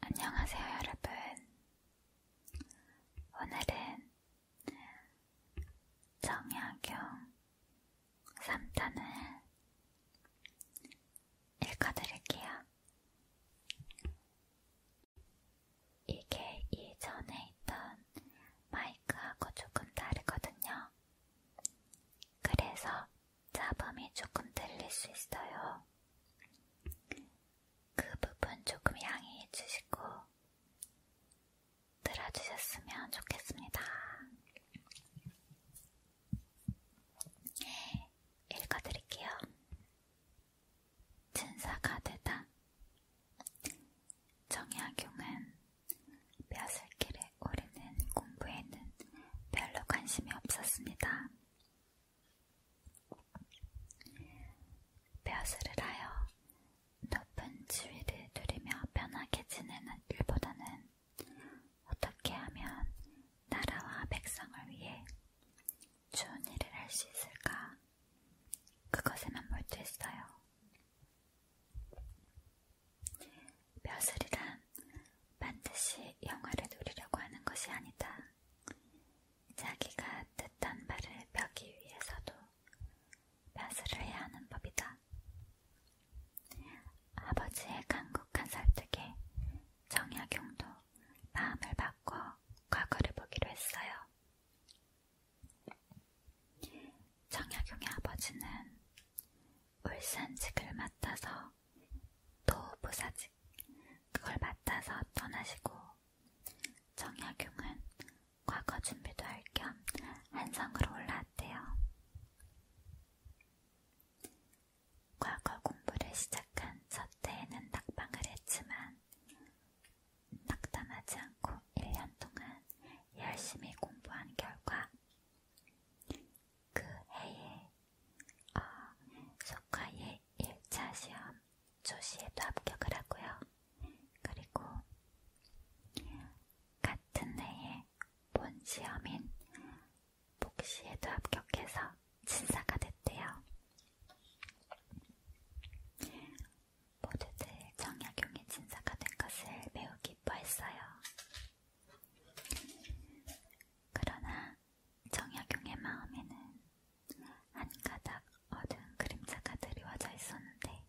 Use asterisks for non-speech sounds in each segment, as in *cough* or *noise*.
안녕하세요, 여러분. 오늘은 정약용 3탄을 읽어드릴게요. 이게 이전에 있던 마이크하고 조금 다르거든요. 그래서 잡음이 조금 들릴 수 있어요. 그 부분 조금 양해해 주시고 들어주셨으면 좋겠습니다. 읽어드릴게요. 진사가 되다. 정약용은 벼슬길에 오르는 공부에는 별로 관심이 없었습니다. 벼슬을 하여 높은 지위를 누리며 편하게 지내는 일보다는 어떻게 하면 나라와 백성을 위해 좋은 일을 할 수 있을까? 그것에만 몰두했어요. 벼슬이란 반드시 영화를 누리려고 하는 것이 아니다. 자기가 뜻한 바를 펴기 위해서도 마술을 해야 하는 법이다. 아버지의 강국한 설득에 정약용도 마음을 바꿔 과거를 보기로 했어요. 정약용의 아버지는 울산 직을 맡아서 도부사직 그걸 맡아서 떠나시고 정약용은 과거 준비도 할 겸 한성으로 올라왔대요. 과거 공부를 시작한 첫 해에는 낙방을 했지만 낙담하지 않고 1년 동안 열심히 공부한 결과 그 해에 어, 석화의 1차 시험 조시에도 합격을 하고요. 그리고 같은 해에 본 시험인 복시에도 합격해서 진사가 됐대요. 모두들 정약용의 진사가 된 것을 매우 기뻐했어요. 그러나 정약용의 마음에는 한 가닥 어두운 그림자가 드리워져 있었는데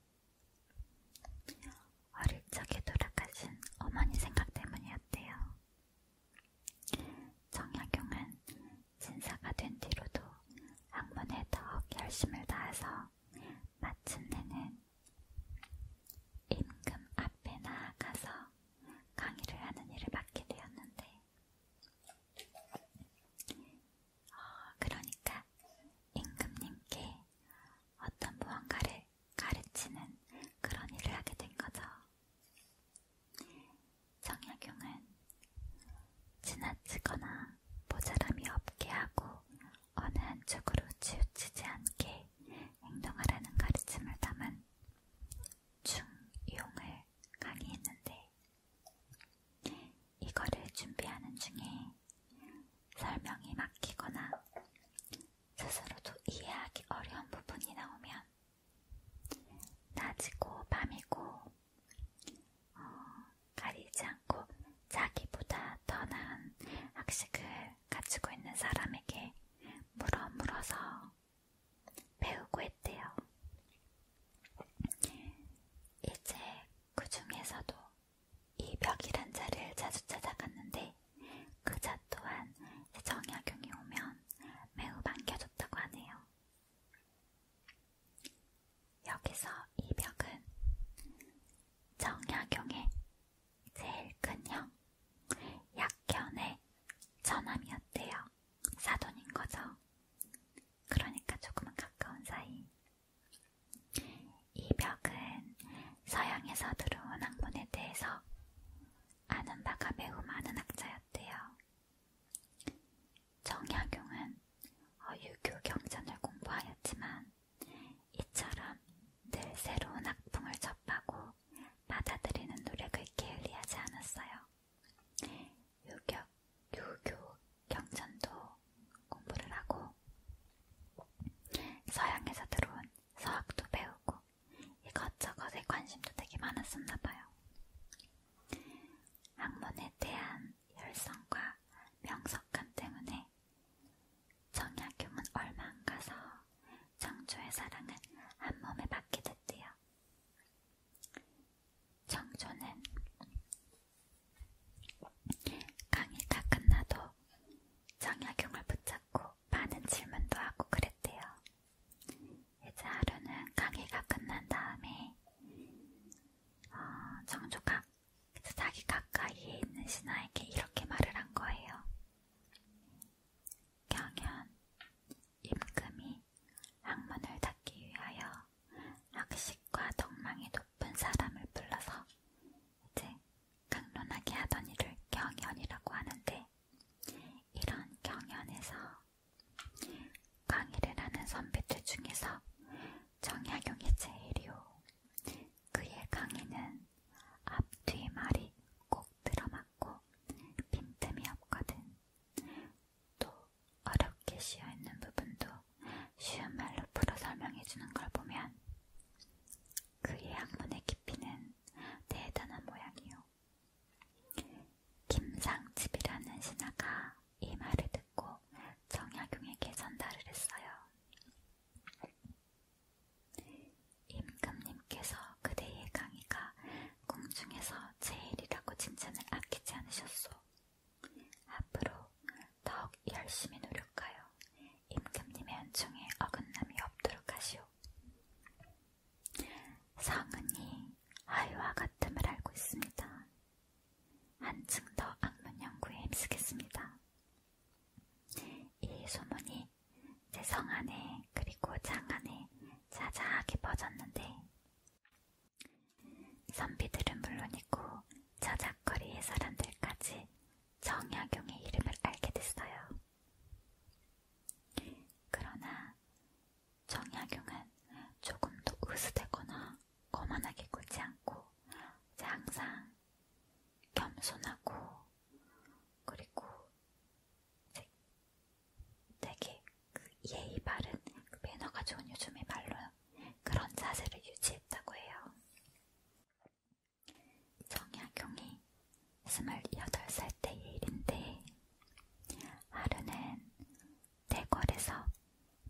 어릴 적에 돌아가신 어머니 생각 때문이었대요. 정약용은 신사가 된 뒤로도 학문에 더욱 열심을 다해서 마침내는 임금 앞에 나아가서 강의를 하는 일을 맡게 되었는데 어, 그러니까 임금님께 어떤 무언가를 가르치는 그런 일을 하게 된 거죠. 정약용은 지나치거나 모자람이 없게 하고 어느 한쪽으로 치우치지 않게 행동하라는 가르침을 담은 중용을 강의했는데 이거를 준비하는 중에 설명이 막히거나 스스로도 이해하기 어려운 부분이 나오면 낮이고 밤이고 어, 가리지 않고 자기보다 더 나은 학식을 가지고 있는 사람에게 물어 물어서 배우고 했대요. 이제 그 중에서도 이 벽이란 자를 자주 찾아갔는데 그 자 또한 정약용이 오면 매우 반겨줬다고 하네요. 여기서 이 벽은 정약용의 제일 큰 형, 약견의 처남이었대요. 사돈인 거죠. 그러니까 조금은 가까운 사이. 이 벽은 서양에서 들어온 학문에 대해서 아는 바가 매우 많은 학자였대요. 정약용은 유교 경전을 공부하였지만 이처럼 늘 새로운 학풍을 접하고 받아들이는 노력을 게을리하지 않았어요. 유격, 유교, 경전도 공부를 하고 서양에서 들어온 서학도 배우고 이것저것에 관심도 되게 많았었나 봐요. 학문에 대한 열성과 명석감 때문에 정약용은 얼마 안 가서 청초의 사랑은 한 몸에 받게 됐대요. 청초는 강의 다 끝나도 정약용을 붙잡고 많은 질문도 하고 그랬대요. 이제 하루는 강의가 끝난 다음에 어, 정조가 자기 가까이에 있는 신하에게 이렇게 말을 한 거예요. 경연, 임금이 학문을 닫기 위하여 학식과 덕망이 높은 사람을 불러서 이제 강론하게 하던 이를 경연이라고 하는데 이런 경연에서 강의를 하는 선배들 중에서 정약용이 제일이요. 그의 강의는 앞뒤 말이 꼭 들어맞고 빈틈이 없거든. 또 어렵게 씌어있는 부분도 쉬운 말로 풀어 설명해주는 걸 보면 그의 학문의 깊이는 대단한 모양이요. 김상집이라는 신하가 이 말을 듣고 정약용에게 전달을 했어요. 임금님께서 그대의 강의가 공중에서 제일이라고 칭찬을 아끼지 않으셨소. 앞으로 더욱 열심히 노력하여 임금님의 은총에 어긋남이 없도록 하시오. 성은이 아이와 같음을 알고 있습니다. 한층 더 악문 연구에 힘쓰겠습니다. 이 소문이 제성 안에 그리고 창 안에 자자하게 퍼졌는데 선비들은 물론이고 저작거리의 사람들까지 정약용의 이름을 알게 됐어요. 그러나 정약용은 조금도 으스대거나 거만하게 굴지 않고 항상 겸손하고 그리고 되게 그 예의 바른 그 매너가 좋은 요즘의 말로 그런 자세를 유지했다고 해요. 정약용이 28살 때 일인데 하루는 대궐에서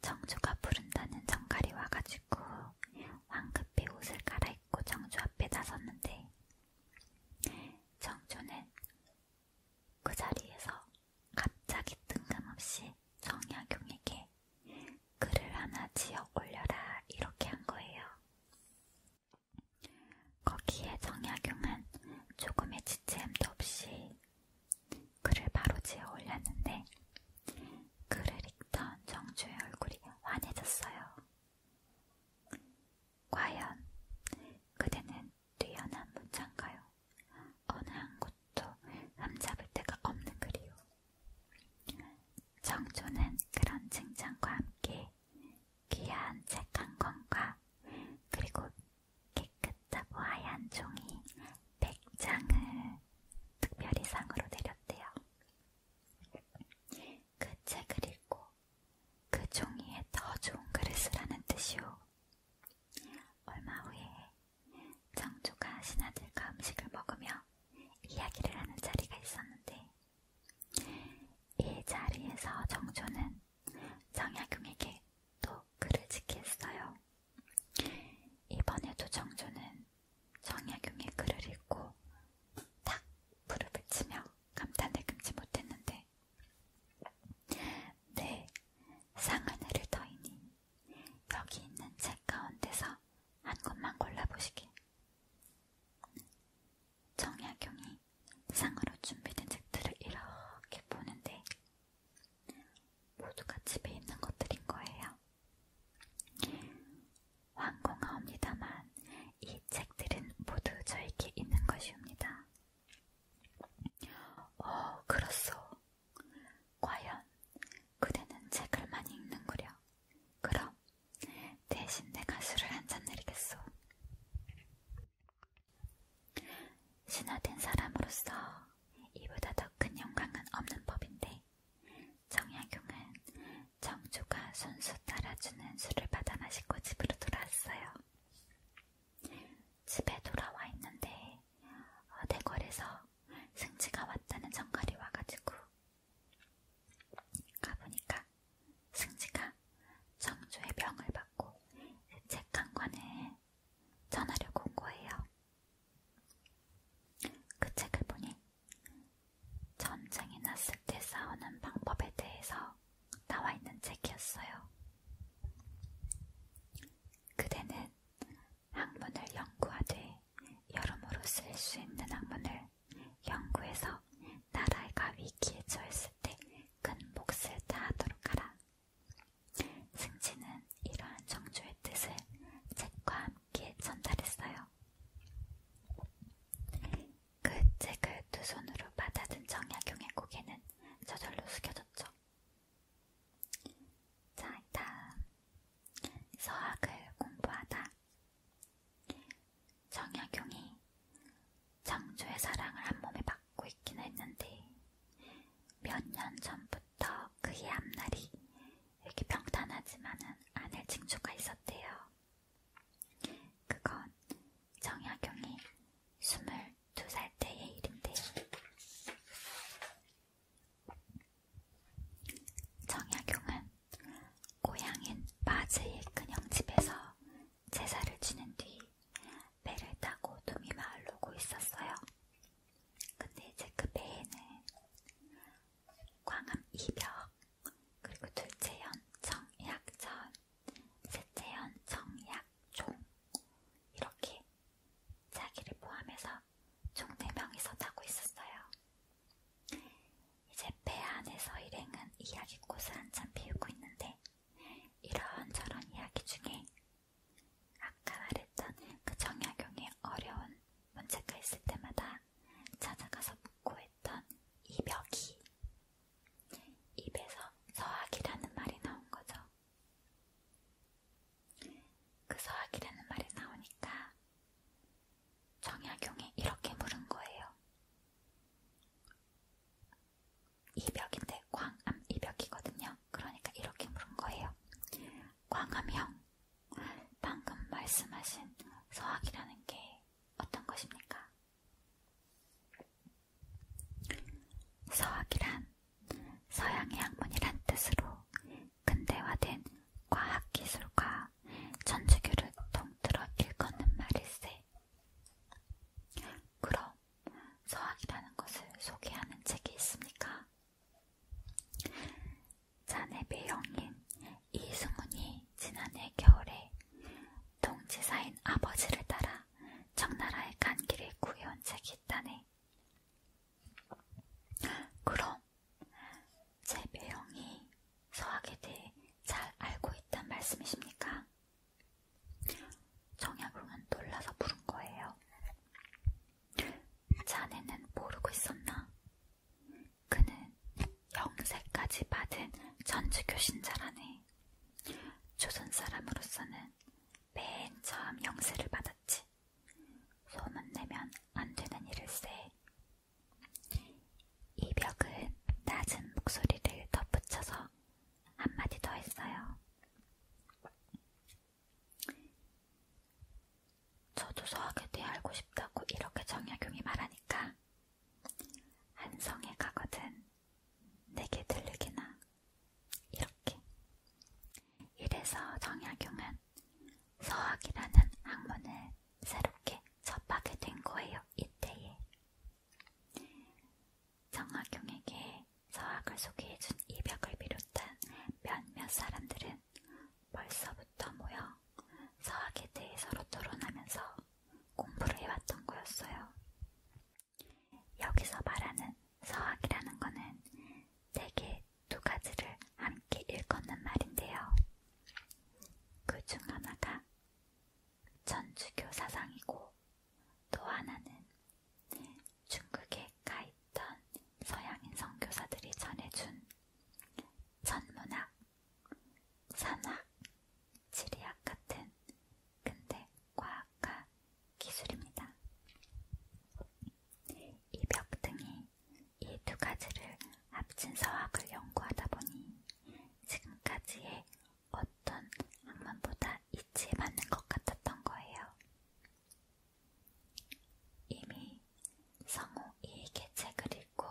정주가 부른다는 정갈이 와가지고 황급히 옷을 갈아입고 정주 앞에 나섰는데 정주는 그 자리에서 갑자기 뜬금없이 정약용에게 글을 하나 지어 올려라 이렇게 한 거예요. 거기에 정약용은 조금의 지체함도 없이 글을 바로 지어 올렸는데 글을 읽던 정주의 얼굴이 환해졌어요. 과연 그대는 뛰어난 무창가요. 어느 한 곳도 흠잡을 데가 없는 그리요. 정조는 그런 칭찬과 함께 귀한 책 한 권과 그리고 깨끗하고 하얀 종이 백 장을 특별히 상으로 내렸대요. 그 책을 읽고 그 종이에 더 좋은 글을 쓰라는 뜻이오. 얼마 후에 장조가 신하들과 음식을 먹으며 이야기를 하는 자리가 있었는데 이 자리에서 정조는 정약용에게 또 글을 지켰어요. 이번에도 정조는 정약용의 글을 읽고 탁 무릎을 치며 감탄을 금치 못했는데 네, 상 하나를 더이니 여기 있는 책 가운데서 한 권만 골라보시길. 정약용이 상으로 준비된 책들을 이렇게 보는데 모두가 집에 있는 것들인 거예요. 완공하옵니다만 이 책들은 모두 저에게 있는 것이옵니다. 어, 그렇소. 과연 그대는 책을 많이 읽는구려. 그럼 대신 내가 술을 한잔 내리겠소. 신화된 사람으로서 이보다 더 큰 영광은 없는 법인데 정약용은 정조가 순수 따라주는 술을 받아 마시고 집으로 돌아왔어요. 집에 돌아와 있는데 어, 대궐에서 승지가 왔다는 정갈이 와가지고 가보니까 승지가 정조의 병을 받고 책 한 권을 전하려고 온 거예요. 그 책을 보니 전쟁이 났을 때 싸우는 방법에 대해서 나와 있는 책이었어요. 그대는 학문을 연구하되 여러모로 쓸 수 있는 학문을 연구해서 나라가 위기에 처했을 때 큰 몫을 다하도록 하라. 승진은 이러한 정조의 뜻을 책과 함께 전달했어요. 그 책을 두 손으로 받아든 정약용의 고개는 저절로 숙여졌죠. 자, 다음. 서학을 공부하다. 정약용이 정조의 사랑을 한 몸에 받고 있긴 했는데 몇 년 전부터 그의 앞날이 이렇게 평탄하지만은 않을 징조가 있었대요. 그건 정약용이 22살 때의 일인데요. 정약용은 고향인 마즈의 큰형집에서 제사를 지낸 뒤 배를 타고 도미 마을로 오고 있었어요. 근데 이제 그 배에는 광암 이벽, 그리고 둘째 연 정약전, 세태현, 정약, 종 이렇게 자기를 포함해서 총 4명이서 자고 있었어요. 이제 배 안에서 일행은 이야기꽃을 한참 피우고 있는데 이런저런 이야기 중에 아까 말했던 그 정약용의 어려운 문제가 있을 때마다 찾아가서 묻고 했던 이벽이 입에서 서학이라는 말이 나온 거죠. 그 서학이라는 말이 나오니까 정약용이 이렇게 물은 거예요. 이벽인데 광암 이벽이거든요. 그러니까 이렇게 물은 거예요. 광암형, 방금 말씀하신 서학이라는 게 어떤 것입니까? 서학이란 서양의 학문이란 뜻으로 근대화된 과학기술과 전주교를 통틀어 일컫는 말일세. 그럼 서학이라는 것을 소개하는 책이 있습니까? 자네배 영인 이승훈이 지난해 겨울에 동지사인 아버지를 따라 청나라에 간 길에 구해온 책이 있다네. 그럼 제 배영이 서학에 대해 잘 알고 있단 말씀이십니까? 정약용은 놀라서 물은 거예요. 자네는 모르고 있었나? 그는 영세까지 받은 전주교신자라네. 조선 사람으로서는 맨 처음 영세를 받았지. 소문내면 안 되는 일일세. 이벽은 낮은 목소리를 덧붙여서 한마디 더 했어요. 저도 서학에 대해 알고 싶다고 이렇게 정약용이 말하니까 한성에 가거든 내게 들르기나 이렇게 이래서 정약용은 서학이라는 학문을 새롭게 접하게 된 거예요. 이때에 정학용에게 서학을 소개해준 이벽을 비롯한 몇몇 사람들은 벌써부터 모여 서학에 대해 서로 토론하면서 공부를 해왔던 거였어요. 여기서 말하는 서학이라는 것은 대개 두 가지를 함께 일컫는 말인데요. 그 중 하나가 천주교 사상이고 또 하나는 중국에 가 있던 서양인 선교사들이 전해준 천문학, 산학, 지리학 같은 근데 과학한 기술입니다. 이 벽등이 이 두 가지를 합친 서학을 연구하다 보니 지금까지의 어떤 학문보다 이치에 맞는 것 같았던 거예요. 이미 성우 이익의 책을 읽고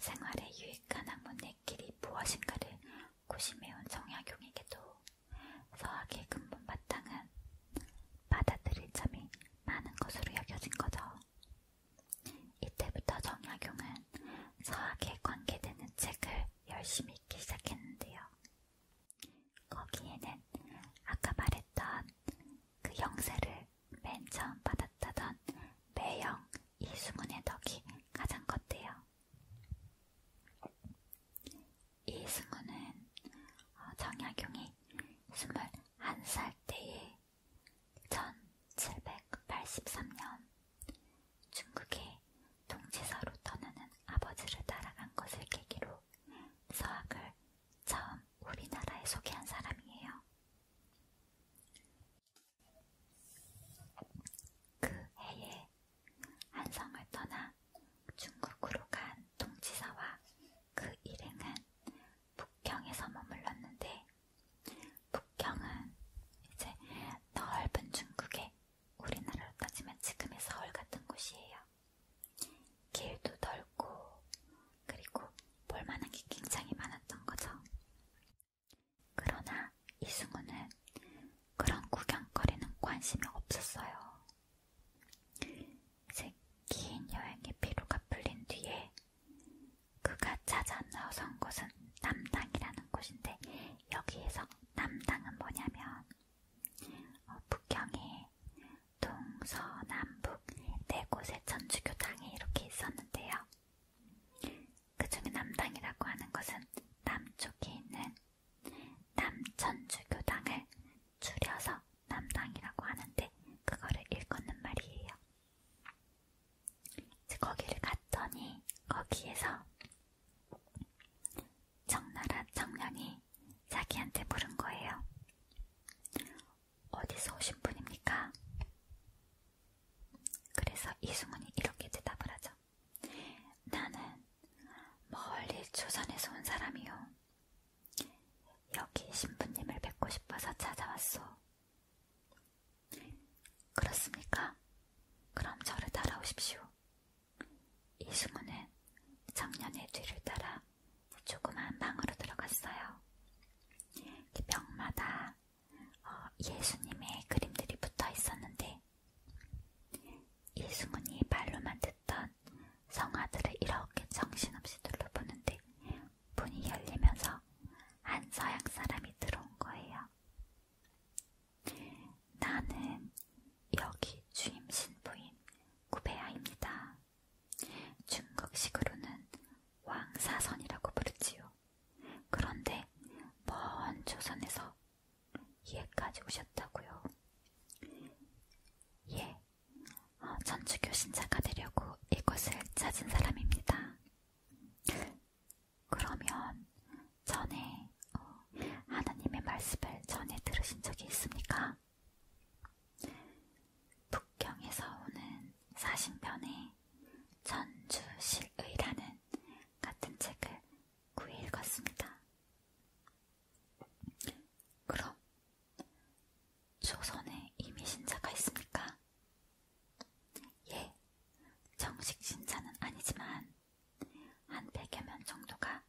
생활에 유익한 학문의 길이 무엇인가를 고심해온 정약용에게도 서학의 근본 바탕은 받아들일 점이 많은 것으로 여겨진 거죠. 이때부터 정약용은 서학에 관계되는 책을 열심히 읽기 시작했는데요. 거기에는 아까 말했던 그 영세를 맨 처음 받았다던 매형 이수문의 덕이 가장 컸대요. 이 승우는 어, 정약용이 21살 때에 1783년 중국의 동지서로 떠나는 아버지를 따라간 것을 계기로 서학을 처음 우리나라에 소개한 사람이에요. 그 해에 한성을 떠나 중국으로 간 통치사와 그 일행은 북경에서 머물렀는데 북경은 이제 넓은 중국에 우리나라로 따지면 지금의 서울 같은 곳이에요. 길도 넓고 그리고 볼만한 게 굉장히 많았던 거죠. 그러나 이승우는 그런 구경거리는 관심이 없었어요. 긴 여행의 피로가 풀린 뒤에 그가 찾아 나선 곳은 남당이라는 곳인데 여기에서 남당은 뭐냐면 어, 북경에 동서남북 네 곳의 천주교당이 이렇게 있었는데요. 그 중에 남당이라고 하는 것은 남쪽에 있는 남천주교당을 줄여서 남당이라고 하는데 그거를 일컫는 말이에요. 이제 거기를 갔더니 거기에서 청나라 청년이 자기한테 물은 거예요. 어디서 오신 분입니까? 그래서 이승훈이 이렇게 대답을 하죠. 나는 멀리 조선에서 온 사람이요. 여기 신부님을 뵙고 싶어서 찾아왔소. 그렇습니까? 그럼 저를 따라오십시오. 이승우는 청년의 뒤를 따라 조그만 방으로 들어갔어요. 벽마다 어, 예수님의 그림들이 붙어 있었는데 예수군이 말로만 듣던 성화들을 이렇게 정신없이 둘러보는데 문이 열리면서 한 서양 사람이 들어온 거예요. 나는 여기 주임 신부인 구베아입니다. 중국식으로는 왕사선이라고 부르지요. 그런데 먼 조선에서 예까지 오셨다고요. 예, 어, 천주교 신자가 되려고 이곳을 찾은 사람입니다. 그러면 전에 어, 하나님의 말씀을 전에 들으신 적이 있습니까? 북경에서 오는 사신편에 천주실의라는 같은 책을 구이 읽었습니다. 그럼 조선에 이미 신자가 있습니까? 예, 정식 신자는 아니지만 한 100여 명 정도가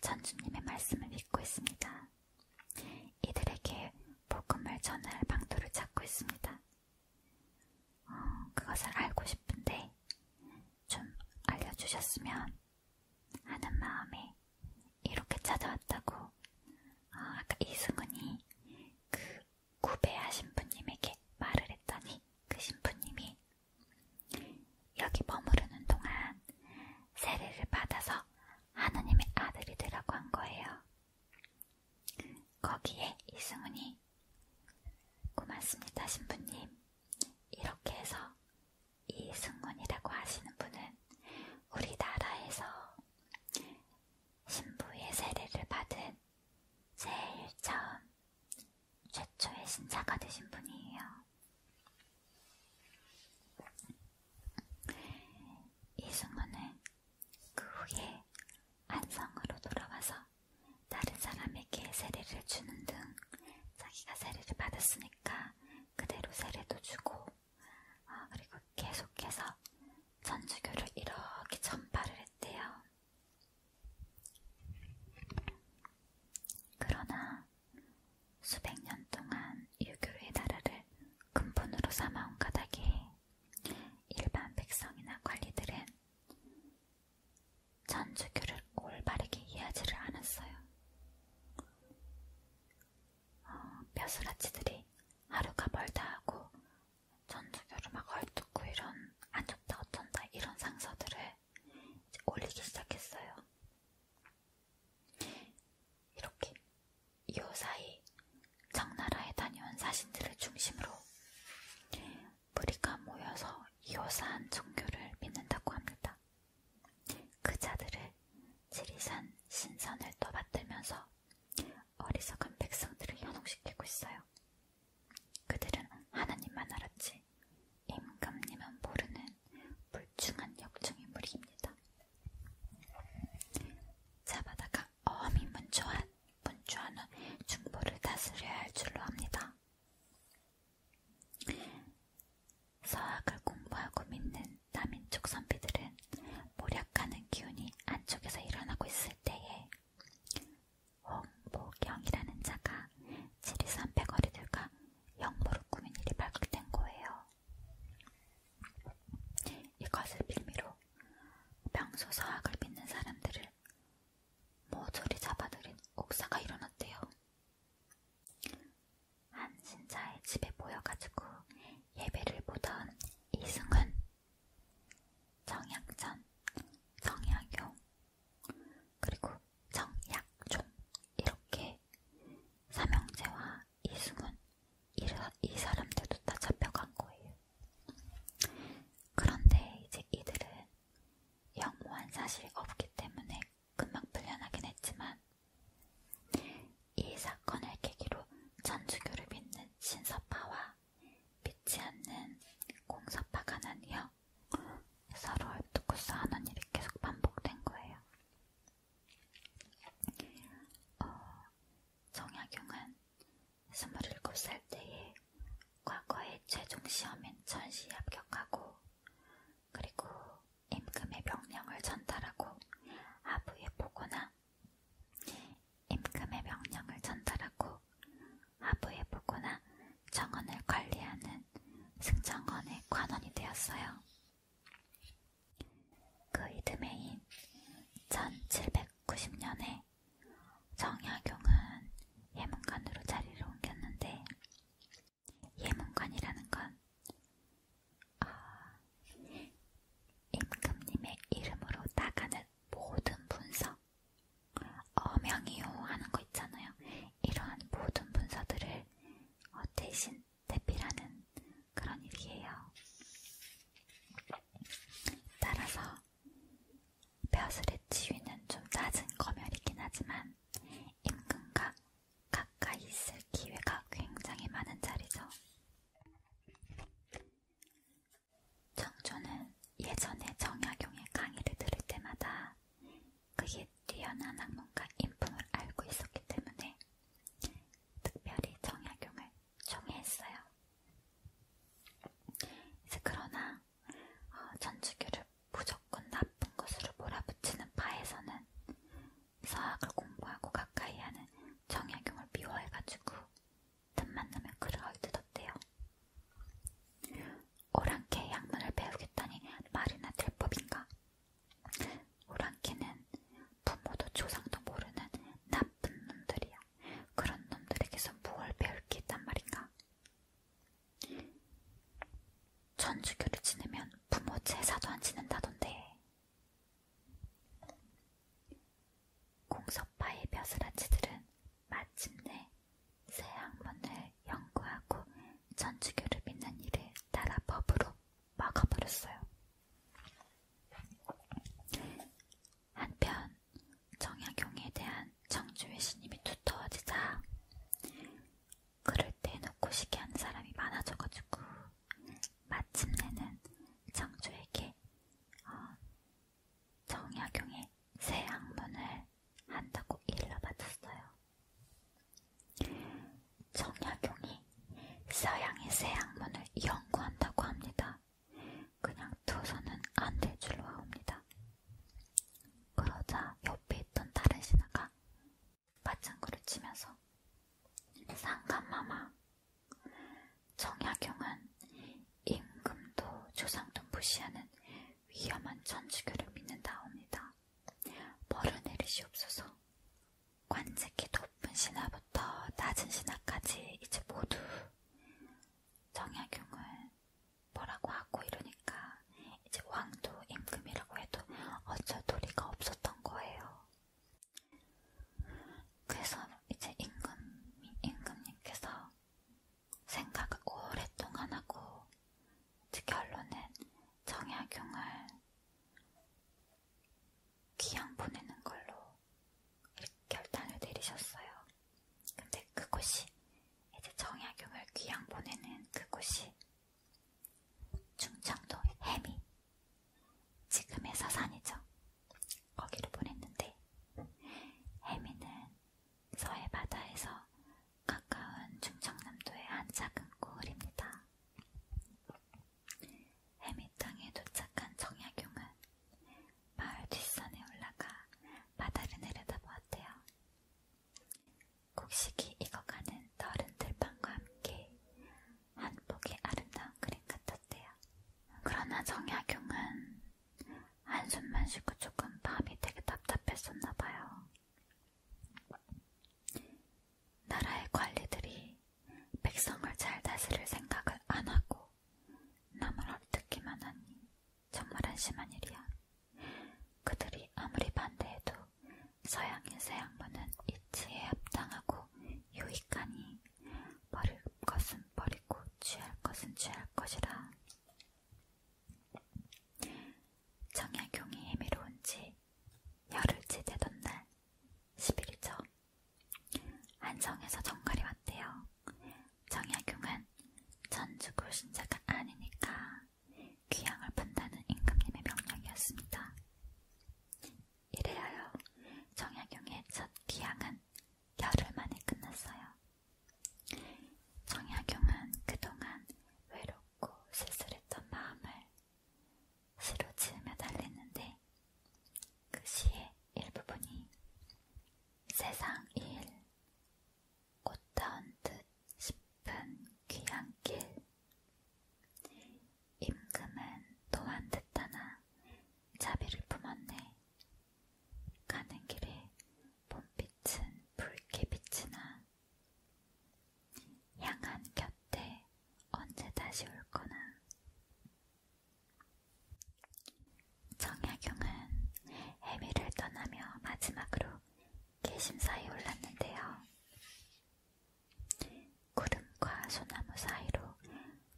전주님의 말씀을 믿고 있습니다. 이들에게 복음을 전할 방도를 찾고 있습니다. 어, 그것을 알고 싶은데 좀 알려주셨으면 하는 마음에 이렇게 찾아왔다고 어, 아까 이승훈이 그 구배아 신부님에게 말을 했더니 그 신부님이 여기 머무르는 동안 세례를 받아서 하느님의 아들이 되라고 한 거예요. 거기에 이승훈이 고맙습니다, 신부님. 이렇게 해서 이승훈이라고 하시는 분은 우리나라에서 신부의 세례를 받은 제일 처음 최초의 신자가 되신 분이에요. 이승훈은 그 후에 안성으로 돌아와서 받아서 다른 사람에게 세례를 주는 등 자기가 세례를 받았으니까 그대로 세례도 주고 어, 그리고 계속해서 천주교를 이렇게 전파를 했대요. 그러나 수백 년 동안 유교의 나라를 근본으로 삼아온 까닭에 일반 백성이나 관리들은 천주교를 올바르게 이해하지를 않았어요. 어, 벼슬아치들이 하루가 멀다 하고 천주교를 막 헐뜯고 이런 안 좋다 어쩐다 이런 상서들을 이제 올리기 시작했어요. 이렇게 이후 사이 청나라에 다녀온 사신들을 중심으로 무리가 모여서 이호산 종교를 믿는다고 합니다. 그 자들을 지리산 신선을 떠받들면서 어리석은 백성들을 현혹시키고 있어요. 그들은 하나님만 알았지 임금님은 모르는 불충한 역중의 무리입니다. 자바다가 어미문조한 분주하는 중부를 다스려야 할 줄로 압니다. 서학을 공부하고 믿는 남인족 선비들은 모략하는 기운이 안쪽에서 일어나고 있을 때에 홍보경이라는 자가 지리산 백거리들과 영보를 꾸민 일이 발각된 거예요. 이것을 빌미로 평소 서학을 믿는 사람들을 모조리 잡아들인 옥사가 일어났대요. 한 신자의 집에 모여가지고 예배를 보던 이승은, 정약전, 정약용, 그리고 정약종 이렇게 삼형제와 이승은 이 사람들도 다 잡혀간 거예요. 그런데 이제 이들은 영모한 사실이 없기 때문에 금방 풀려나긴 했지만 이 사건을 계기로 천주교를 믿는 신서파와 믿지 않는 공서파가 나뉘어 서로 얽두고 싸우는 일이 계속 반복된 거예요. 어, 정약용은 스물일곱 살 때에 과거의 최종 시험인 전시 합격하고 그리고 임금의 명령을 전달하고 하부에 보거나 임금의 명령을 전달하고 하부에 보거나 정원을 관리하는 승정원의 관원이 되었어요. 그 이듬해인 1790년에 정약용은 예문관으로 자리를 옮겼는데 예문관이라는 건 아, 임금님의 이름으로 나가는 모든 분석 어명이요 하는 거 있잖아요. 이러한 모든 분서들을 어, 대신 대필하는 그런 일이에요. 따라서 벼슬의 지위는 좀 낮은 검열이긴 하지만 임금과 가까이 있을 기회가 굉장히 많은 자리죠. 정조는 예전에 정약용의 강의를 들을 때마다 그의 뛰어난 학문과 인품을 알고 있었기 때문에 특별히 정약용을 총애했어요. 그러나 천주교를 무조건 나쁜 것으로 몰아붙이는 파에서는 서학을 공부하고 가까이 하는 정약용을 미워해가지고 틈만 나면 글을 얼뜯었대요. 오랑캐 양문을 배우겠다니 말이나 될 법인가? 오랑캐는 부모도 조상도 모르는 나쁜 놈들이야. 그런 놈들에게서 무엇을 배울 게 있단 말인가? 천주교를 지내면 부모 제사도 안 지낸다던데. 공석파의 벼슬아치들은 마침내 새 학문을 연구하고 천주교를 믿는 일을 따라 법으로 막아버렸어요. 한편 정약용에 대한 청주의 신임이 두터워지자 그럴 때 놓고 시기하는 사람이 많아져가지고 마침내는 청주에게 어, 정약용의 새 학문을 한다고 일러받았어요. 정약용이 서양의 새 학문을 연구한다고 합니다. 그냥 둬서는 안될 줄로 아옵니다. 그러자 옆에 있던 다른 신하가 마찬구를 치면서 상감마마 정약용은 임금도 조상도 무시하는 위험한 천주교를 믿는다옵니다. 벌을 내리시옵소서 관직이 높은 신하부터 낮은 신하까지 이제 모두 정약용을 뭐라고 하고 이러니까 이제 왕도 임금이라고 해도 어쩔 도리가 없었던 거예요. 그래서 이제 임금, 임금님께서 생각을 오랫동안 하고 결론은 정약용을 귀양 보내는 걸로 결단을 내리셨어요. 근데 그곳이 이제 정약용을 귀양 보내는 그곳이 충청도 해미 지금의 서산이죠. 거기로 보냈는데 해미는 서해 바다에서 가까운 충청남도의 한 작은 고을입니다. 해미 땅에 도착한 정약용은 마을 뒷산에 올라가 바다를 내려다보았대요. 곡식이 익어가는 더른 들판과 함께 한 폭의 아름다운 그림 같았대요. 그러나 정약용은 한숨만 쉬고 조금 마음이 되게 답답했었나봐요. 나라의 관리들이 백성을 잘 다스릴 생각을 안 하고 남을 헐뜯기만 하니 정말 한심한 일이야. 그들이 아무리 반대해도 서양인 새 양반은 이치에 합당하고 유익하니 버릴 것은 버리고 취할 것은 취할 것이라. 정약용이 해미로운 지 열흘째 되던 날 10일이죠. 안성에서 정갈이 왔대요. 정약용은 전주고 신자가 아니니까 귀향을 판다는 임금님의 명령이었습니다. 이래하여 정약용의 첫 귀향은 열흘 만에 끝났어요. 정약용은 그동안 외롭고 쓸쓸했던 마음을 시로 지으며 달랬는데 그 시의 일부분이 세상 일, 꽃다운 듯 싶은 귀향길. 임금은 또한 듣다나 자비를 품었네. 가는 길에 봄빛은 붉게 빛이나 향한 곁에 언제 다시 올 거나 정약용은 해미를 떠나며 마지막으로 개심사에 올랐는데요. 구름과 소나무 사이로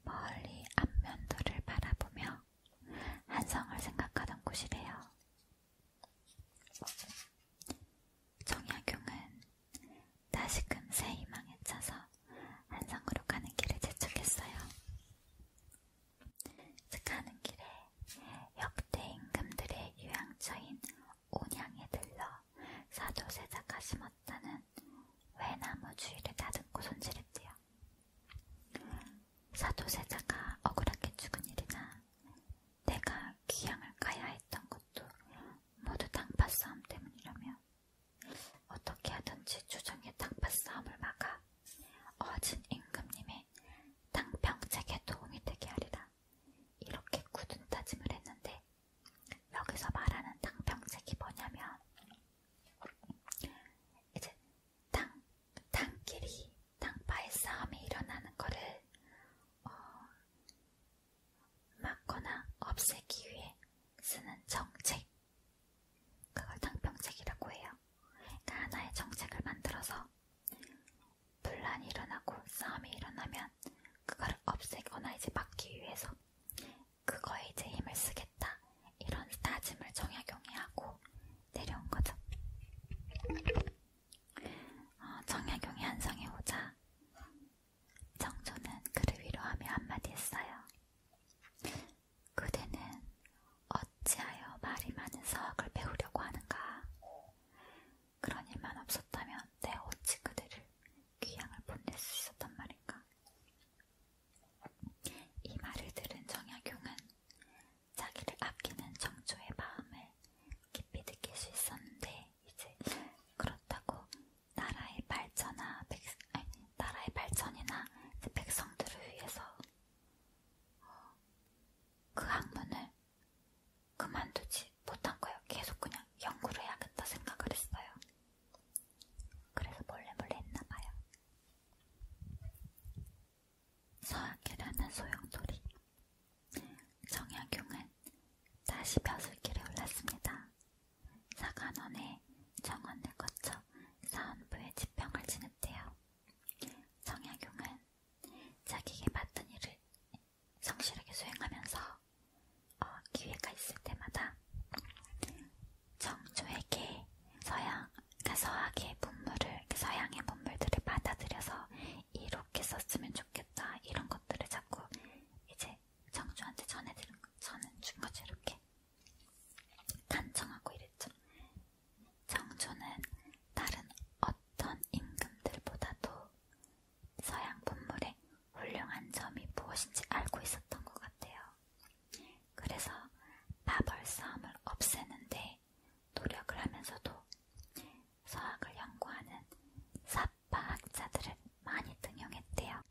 멀리 안면도를 바라보며 한성을 생각하던 곳이래요. 정약용은 다시금 새 희망에 차서 한성으로 가는 길을 재촉했어요. 가는 길에 역대 임금들의 유양처인 온양에 들러 사도 세자가 심었다는 외나무 주위를 다듬고 손질했대요. 사도 세자가 억울하게 죽은 일이나 내가 귀향을 가야 했던 것도 모두 당파 싸움 때문이라며 어떻게 하든지 조정의 당파 싸움을 막아 어진 임금님의 당평책에 도움이 되게 하리라. 이렇게 굳은 다짐을 했는데 여기서 말하는 당평책이 뭐냐면 이제 당, 당끼리 당파의 싸움이 일어나는 거를 어, 막거나 없애기 위해 쓰는 정책 그걸 탕평책이라고 해요. 그러니까 하나의 정책을 만들어서 분란이 일어나고 싸움이 일어나면 그거를 없애거나 이제 막기 위해서 그거에 이제 힘을 쓰겠다 이런 다짐을 정약용이 하고 내려온 거죠. 어, 정약용이 한성에 오자 정조는 그를 위로하며 한마디 했어요. 그대는 어찌하여 말이 많은 서학을 배우려고 하는가? 그런 일만 없었다면 내 어찌 그대를 귀향을 보낼 수 있었단 말인가? 이 말을 들은 정약용은 자기를 아끼는 정조의 마음을 깊이 느낄 수 있었는데 이제 그렇다고 나라의 발전이나 백성들을 위해서 그 학문을 그만두지 못한 거예요. 계속 그냥 연구를 해야겠다 생각을 했어요. 그래서 몰래 몰래 했나봐요. 서학이라는 소용돌이. 정약용은 다시 벼슬길에 올랐습니다. 사관원의 정원을 거쳐 사원부의 지평을 지냈대요. 성약용은 자기에게 맡은 일을 성실하게 수행하면서 어, 기회가 있을 때마다 정조에게 서양, 그러니까 서양의 문물을, 그러니까 서양의 문물들을 받아들여서 이렇게 썼으면 좋겠다 이런 것들을 자꾸 이제 정조한테 전해드린, 전해준 거죠 이렇게 간청하고 이랬죠. 정조는 다른 어떤 임금들보다도 서양 문물의 훌륭한 점이 무엇인지 알고 있었던 것 같아요. 그래서 마벌 싸움을 없애는데 노력을 하면서도 서학을 연구하는 사파학자들을 많이 등용했대요.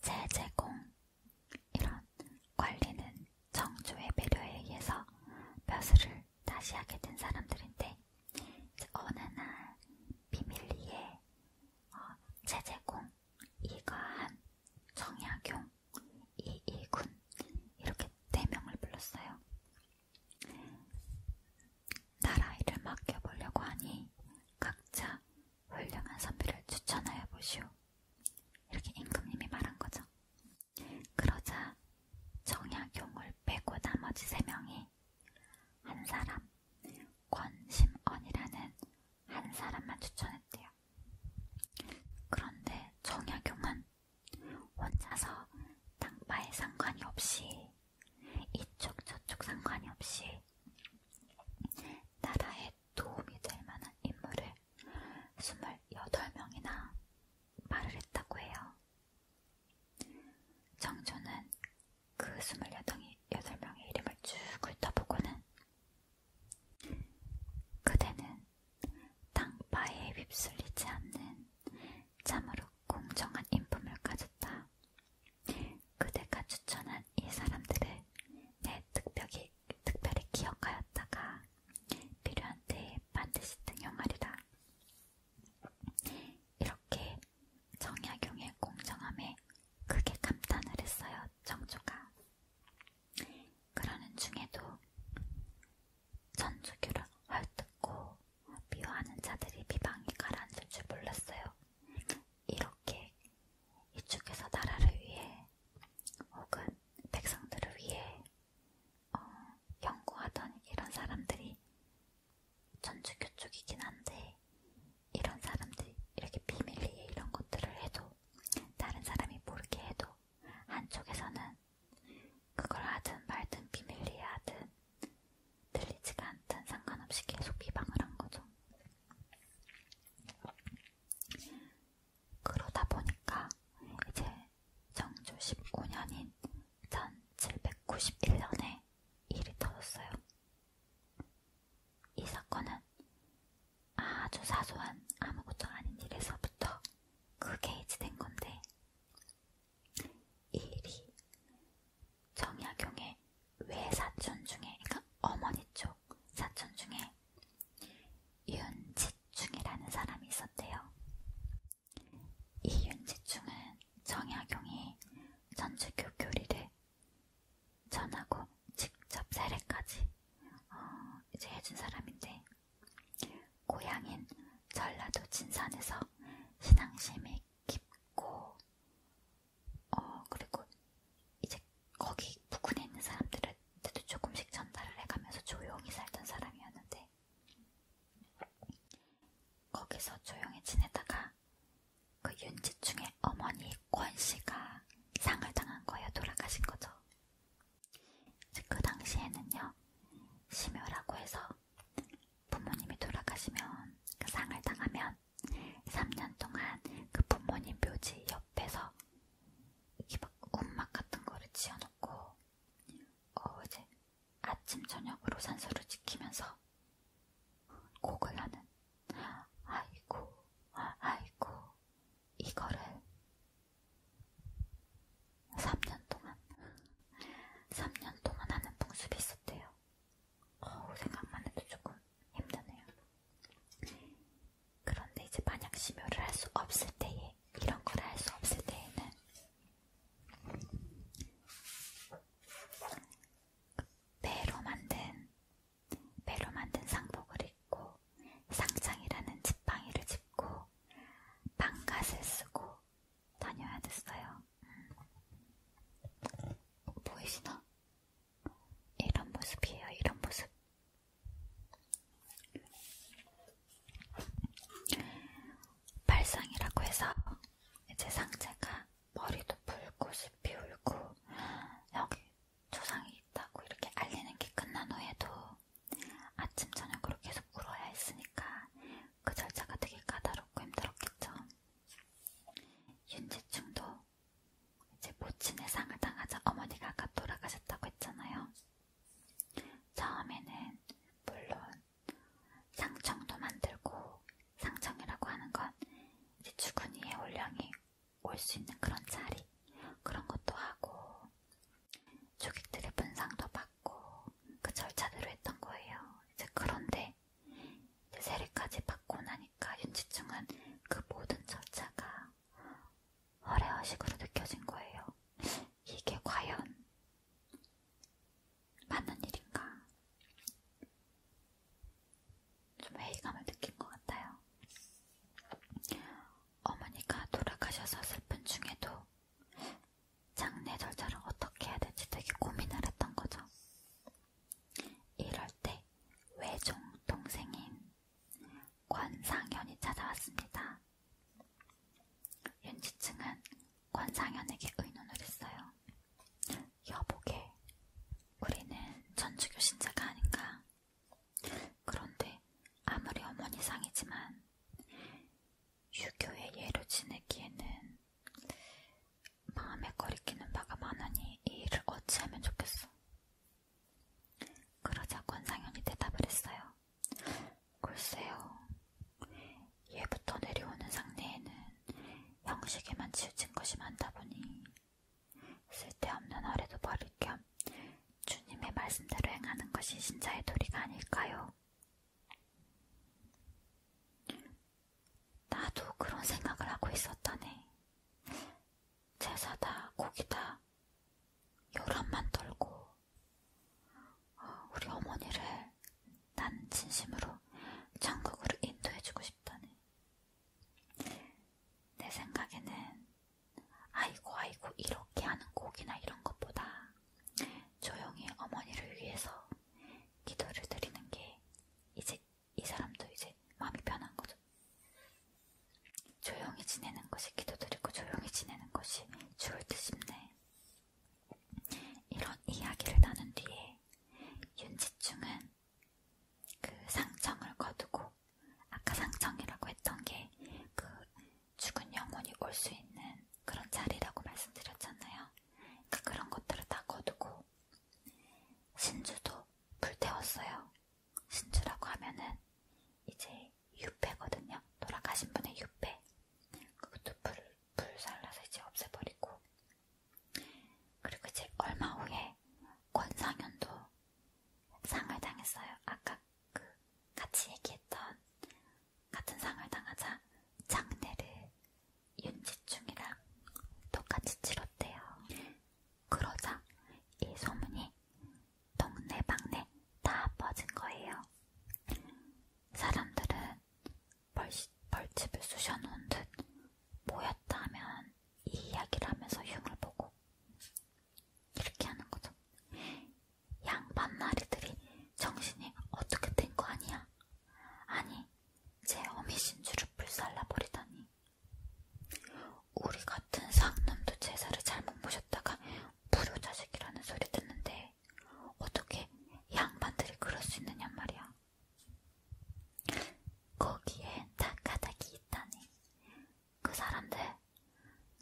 제제공 이런 관리는 정조의 배려에 의해서 벼슬을 다시 하게 된 사람들인데 어느 날 비밀리에 어, 제제공, 이가한, 정약용, 이이군 이렇게 네 명을 불렀어요. 나라 일을 맡겨보려고 하니 각자 훌륭한 선비를 추천하여 보시오. 이렇게 임금님이 말한 거죠. 그러자 정약용을 빼고 나머지 세 명이 한 사람, 권심언이라는 한 사람만 추천했대요. 그런데 정약용은 혼자서 땅바에 상관이 없이 이쪽 저쪽 상관이 없이 나라의 도움이 될 만한 인물을 28명이나 말을 했다고 해요. 정조는 그 28명의 이름을 쭉 훑어보고는 그대는 땅바에 휩쓸리지 않는 참으로 공정한 인품을 가졌다. 그대가 추천한 이 사람들을 내 특별히 아직 특별히 기억하였다가 필요한 때 반드시 등용하리라. 이렇게 정약용의 공정함에 크게 감탄을 했어요. 정조가. 그러는 중에도 전주교를 헐뜯고 미워하는 자들이 비방이 가라앉을 줄 몰랐어요. 이렇게 이쪽에서 나라를 위해 혹은 백성들을 위해 어, 연구하던 이런 사람들이 전주교 쪽이긴 한데 이런 사람들이 이렇게 비밀리에 이런 것들을 해도 다른 사람이 모르게 해도 한쪽에서는 그걸 하든 말든 비밀리에 하든 들리지가 않든 상관없이 계속 비방을 한 거죠. 그러다 보니까 이제 정조 19년인 1791년에 일이 터졌어요. 이 사건은 아주 사소한 아무것도 아닌 일에서부터 크게 해지된 건데 이 일이 정약용의 외사촌 중에 그러니까 어머니 쪽 사촌 중에 윤지충이라는 사람이 있었대요. 이 윤지충은 정약용이 전주교 교리를 전하고 직접 세례까지 어, 이제 해준 사람인데 고향인 전라도 진산에서 신앙심이 깊고 어 그리고 이제 거기 북한에 있는 사람들한테도 조금씩 전달을 해가면서 조용히 살던 사람이었는데 거기서 조용히 지내다가 그 윤지충의 어머니 권씨가 상을 당한 거예요. 돌아가신 거죠. 그 당시에는요. 심효라고 해서 부모님이 돌아가시면 그 상을 당하면 3년 동안 그 부모님 묘지 옆에서 이막 옷막 같은 거를 지어놓고 어 이제 아침 저녁으로 산소를 지키면서 곡을 하는 아이고 아이고 이거를 3년 동안 3년 동안 하는 풍습이 있었대요. 어, 생각만 해도 조금 힘드네요. 그런데 이제 만약 심혈을 할수 없을 때에 이런 걸 할 수 없을 때에는 배로 만든 배로 만든 상복을 입고 상장이라는 지팡이를 짚고 방갓을 쓰고 다녀야 됐어요. 음. 보이시나? 이런 모습이에요. 이런 모습. 발상이라고 해서 이제 상체가 머리도 풀고 씹이 울고 여기 조상이 있다고 이렇게 알리는 게 끝난 후에도 아침 저녁으로 계속 울어야 했으니까 그 절차가 되게 까다롭고 힘들었겠죠. 윤지충도 제 모친의 상을 당하자 어머니가 아까 돌아가셨다고 했잖아요. 처음에는 물론 상청도 만들고 상청이라고 하는 건 이제 죽은 이의 혼령이 올 수 있는 그런 자리 그런 것도 하고 조객들의 분상도 받고 그 절차대로 했던 거예요. 이제 그런데 이제 세례까지 받고 나니까 윤지충은 그 모든 절차가 허례허식으로 느껴진 거예요. 이게 과연 맞는 일인가? 좀 회의감을 느낀 것 같아요. 어머니가 돌아가셔서 슬픈 중에도 장례 절차를 어떻게 해야 될지 되게 고민을 했던 거죠. 이럴 때 외종 동생인 권상현이 찾아왔습니다. 윤지층은 권상현에게 의논을 했어요. 여보게, 우리는 천주교 신자가 아닌가? 그런데 아무리 어머니상이지만 유교의 예로 지내기에는 마음에 거리끼는 바가 많으니 이 일을 어찌하면 좋겠어. 그러자 권상현이 대답을 했어요. 글쎄요. 예부터 내려오는 상례에는 형식에만 치우친 것이 많다 보니 쓸데없는 어뢰도 버릴 겸 주님의 말씀대로 행하는 것이 신자의 도리가 아닐까요? 나도 그런 생각을 하고 있었다네. 제사다, 고기다, 요란만 떨고, 어, 우리 어머니를 난 진심으로 천국으로 인도해주고 싶다네. 내 생각에는, 아이고, 아이고, 이렇게 하는 고기나 이런 것보다 조용히 어머니를 위해서 기도를 드리는 게 이제 이 사람도 이제 마음이 편한 거죠. 조용히 지내는 것이 기도드리고 조용히 지내는 것이 죽을 듯 싶네. 이런 이야기를 나눈 뒤에 윤지충은 그 상청을 거두고 아까 상청이라고 했던 게 그 죽은 영혼이 올 수 있는 그런 자리라고 말씀드렸잖아요. 그러니까 그런 것들을 다 거두고 신주도 불태웠어요. 신주라고 하면은 이제 유패거든요. 돌아가신 분의 유패. 그것도 불, 불 살라서 이제 없애버리고. 그리고 이제 얼마 후에 권상현도 상을 당했어요. 아까 그 같이 얘기했던 같은 상을 당하자 장례를 윤지충이랑 똑같이 치렀대요. 그러자 이 소문이 동네방네 다 퍼진 거예요. 사람들은 벌, 벌집을 쑤셔놓은 듯 모였다면 이 이야기를 하면서 흉을 보고 이렇게 하는 거죠. 양반나리들이 정신이 어떻게 된 거 아니야? 아니, 제 어미신주를 불살라 버리다니. 우리 같은 상놈도 제사를 잘못 모셨다가 불효자식이라는 소리 듣는데 어떻게 양반들이 그럴 수 있느냐 말이야. 거기에 닭가닥이 있다니. 그 사람들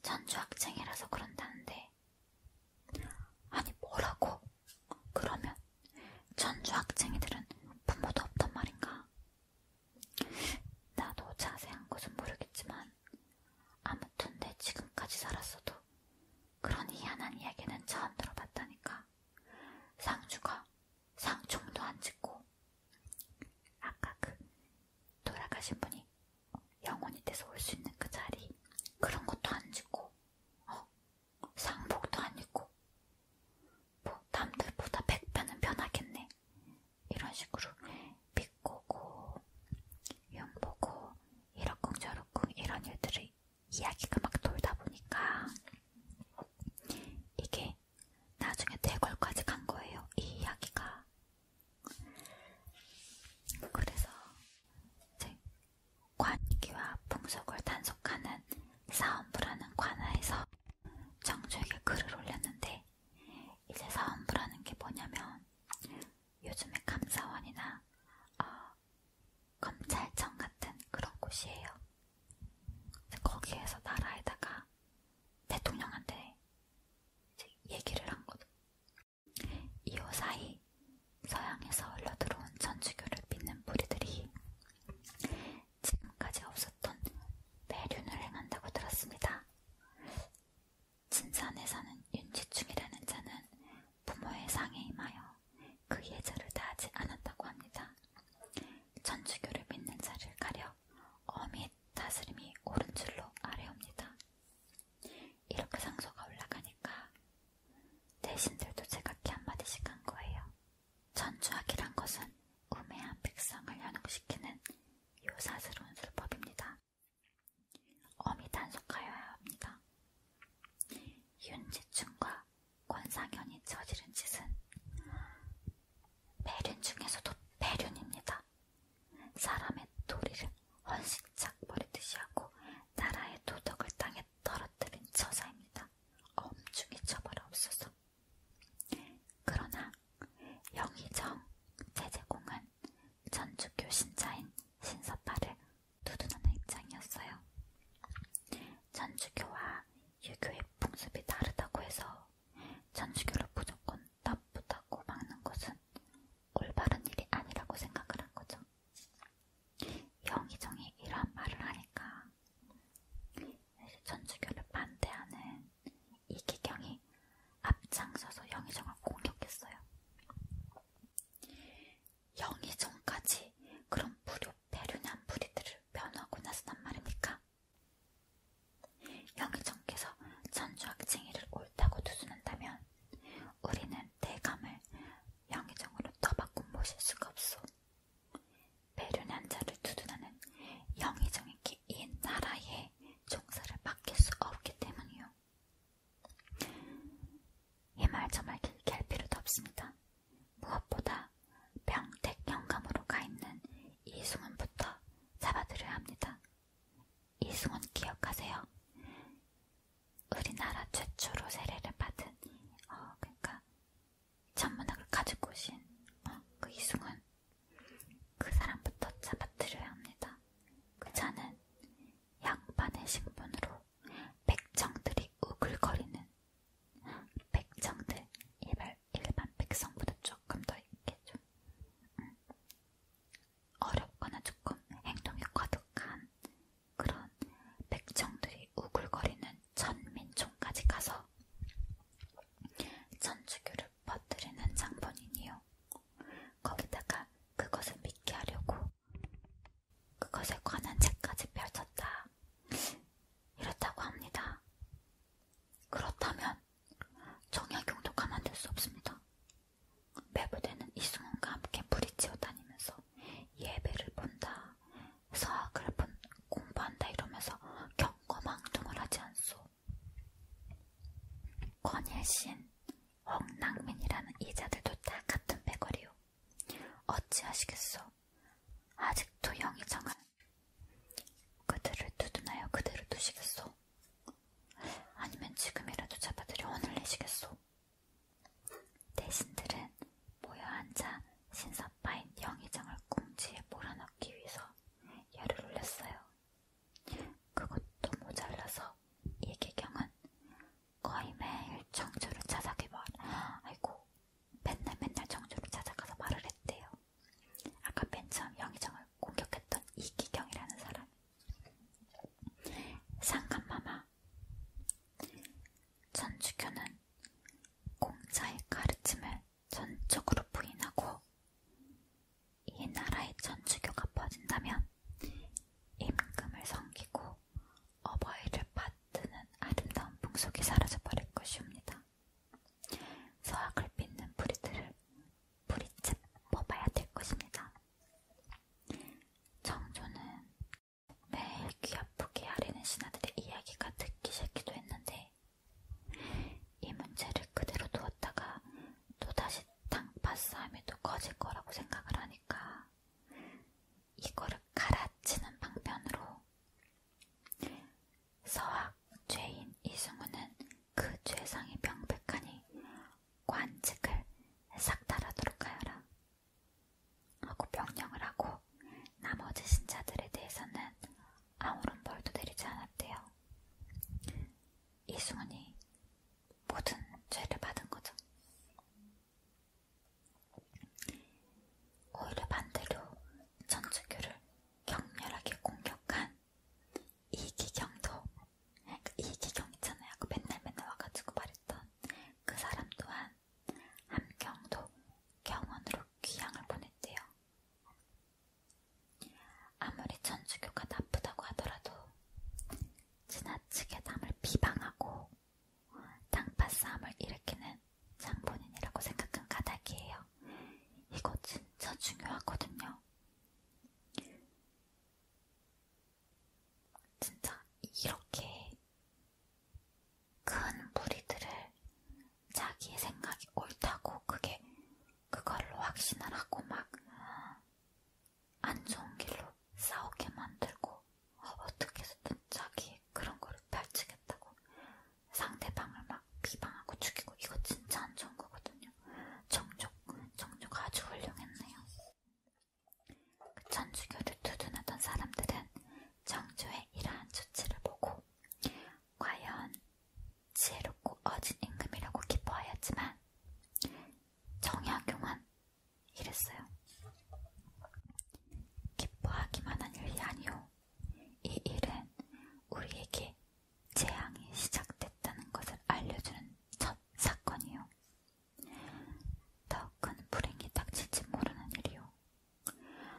전주학생이라서 그런다는데. 아니 뭐라고? 그러면 전주학생이들은 부모도 없단 말인가? 나도 자세한 것은 모르겠지만 아무튼 내 지금까지 살았어도 그런 희한한 이야기는 처음 들어봤다니까. 상주가 상총도 안 짓고 아까 그 돌아가신 분이 영혼이 돼서 올 수 있는 그 자리 그런 것도 안 짓고 어? 상복도 안 입고 뭐 남들보다 백배는 변하겠네. 있는데 이런 식으로 비꼬고 연보고 이러쿵저러쿵 이런 일들을 이야기가 막 돌다 보니까 이게 나중에 대궐까지 간 거예요. 이 이야기가. 그래서 이제 관기와 풍속을 단속하는 사원부라는 관아에서 정주에게 글을 올렸는데 이제 사원부라는 게 뭐냐면 요즘에 감사원이나 어, 검찰청 같은 그런 곳이에요. 거기에서 나라에다가 대통령한테 이제 얘기를 한 거죠. 2호 사이 서양에서 흘러 들어온 천주교를 믿는 무리들이 지금까지 없었던 매륜을 행한다고 들었습니다. 진산에 사는 윤지충이라는 자는 부모의 상에 임하여 그 예절을 다하지 않았다고 합니다. 천주교를 믿는 자를 가려 어미 다스림이 오른줄로 아래옵니다. 이렇게 상소가 올라가니까 대신들도 제각기 한마디씩 한 거예요. 천주학이란 것은 우매한 백성을 현혹시키는 요사스러운 술법입니다. 엄히 단속하여야 합니다. 윤지춘과 권상현이 저지른 짓은 배륜 중에서도 배륜입니다. 사람의 도리를 헌신짝 버리듯이 하고 나라의 도덕을 땅에 떨어뜨린 저자입니다. 엄중히 처벌하옵소서. 그러나 영희정 제제공은 전주교 신자인 신서파를 두둔하는 입장이었어요. 전주교와 유교의 풍습이 다르다고 해서 전주교를 무조건 나쁘다고 막는 것은 올바른 일이 아니라고 생각을 한 거죠. 영희정이 이러한 말을 하니까 전주교를 반대하는 이기경이 앞장서서 영희정을 공격했어요. 영희정까지 그런 무료 배륜한 무리들을 면하고 나서단 말입니까? 영희정께서 전주학생이를 옳다고 두수는다면 우리는 대감을 영희정으로 떠받고 모실 수가 없소. 배륜한 자를 두둔하는 영희정에게 이 나라에 종사를 맡길 수 없기 때문이요. 이말 저말 길게 할 필요도 없습니다. 무엇보다 병택 영감으로 가 있는 이승훈부터 잡아들여야 합니다. 이승훈 기억하세요? 우리나라 최초로 세례를 받은 어 그러니까 천문학을 가지고 오신 어, 그 이승훈 그 사람부터 잡아뜨려야 합니다. 그 자는 양반의 신분으로 백정들이 우글거리는 백정들 일반, 일반 백성보다 조금 더 있겠죠. 음. 어렵거나 조금 행동이 과득한 그런 백정들이 우글거리는 천민총까지 가서 천주교를 퍼뜨리는 장본인이요. 거기다가 그것을 믿게 하려고 그것에 관한 책까지 펼쳤다. 이렇다고 합니다. 그렇다면 정약용도 가만둘 수 없습니다. 매부대는 이승훈과 함께 부리치어 다니면서 예배를 본다, 서학을 본, 공부한다 이러면서 경거망동을 하지 않소. 권일신, 홍낭민이라는 이자들도 다 같은 배거리요. 어찌하시겠소? 아직도 영의정은 그들을 두둔하여 그대로 두시겠소? 아니면 지금이라도 잡아들여 혼을 내시겠소? 대신들은 모여 앉아 신사파인 영의정을 궁지에 몰아넣기 위해서 열을 올렸어요. 그것도 모자라서 이계경은 거의 매일 청주를 찾아가 말, 아이고 맨날 맨날 청주를 찾아가서 말을 했대요. 아까 맨 처음 영희정을 공격했던 이기경이라는 사람. 상간마마 전주교는 공자의 가르침을 전적으로 부인하고 이 나라의 천주교가 퍼진다면 임금을 섬기고 어버이를 받드는 아름다운 풍속이 사라져버릴 것이옵니다. 서학을 빚는 부리들을 부리집 뽑아야 될 것입니다. 정조는 매일 귀 아프게 하리는 신하들의 이야기가 듣기 싫기도 했는데 이 문제를 그대로 두었다가 또다시 탕파싸움이 또 커질 거라고 생각을 하니까 이거를 갈아치는 방편으로 서학 죄인 이승우는 그 죄상이 명백하니 관직을 싹 달하도록 하여라 하고 명령을 하고 나머지 신자들에 대해서는 아무런 벌도 내리지 않았대요. 이승훈이 모든 죄를 받은 거죠. 오히려 반대로 천주교를 격렬하게 공격한 이기경도 그러니까 이기경 있잖아요. 그 맨날 맨날 와가지고 말했던 그 사람 또한 함경도 경원으로 귀향을 보냈대요. 아무리 천주교가 나쁘다고 하더라도 지나치게 남을 비방하고 땅파 싸움을 일으키는 장본인이라고 생각한 까닭이에요. 이거 진짜 중요하거든요. 진짜 이렇게 큰 무리들을 자기의 생각이 옳다고 그게 그걸로 확신을 하고 막안 어, 좋은 길로 싸우게 만들고 어, 어떻게 해서든 자기 그런 거를 펼치겠다고 상대방을 막 비방하고 죽이고 이거 진짜 안 좋은 거거든요. 정족, 정족 아주 훌륭했네요. 그 천주교를 두둔하던 사람들은 정조의 이러한 조치를 보고 과연 지혜롭고 어진 임금이라고 기뻐하였지만 정약용은 이랬어요. 기뻐하기만 한 일이 아니오. 이 일은 우리에게 재앙이 시작됐다는 것을 알려주는 첫 사건이요. 더 큰 불행이 닥칠지 모르는 일이요.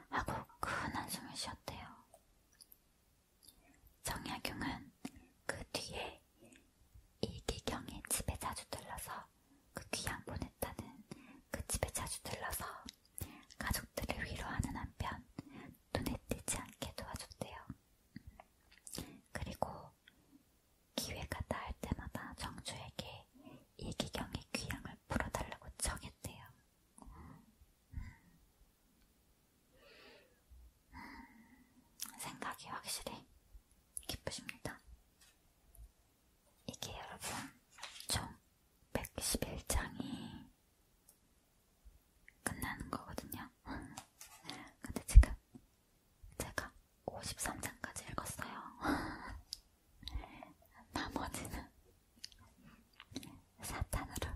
하고 큰 한숨을 쉬었대요. 정약용은 그 뒤에 이기경의 집에 자주 들러서 그 귀양 보냈다는 그 집에 자주 들러서 가족들을 위로하는 한편 눈에 띄지 않게 도와줬대요. 그리고 기회가 닿을 때마다 정주에게 이기경의 귀향을 풀어달라고 청했대요. 생각이 확실히 기쁘십니다. 이게 여러분 총 111장이 끝나는 거거든요. 근데 지금 제가 53장까지 읽었어요. *laughs* 나머지는 사탄으로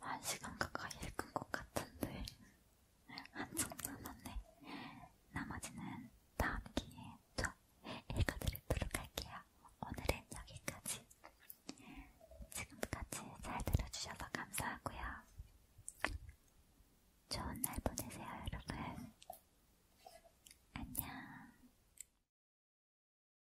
한 시간 가까이 읽은 것 같은데 한참 남았네. 나머지는 다음 기회에 좀 읽어드리도록 할게요. 오늘은 여기까지. 지금까지 잘 들어주셔서 감사하고요. 좋은 날 보내세요, 여러분. 안녕.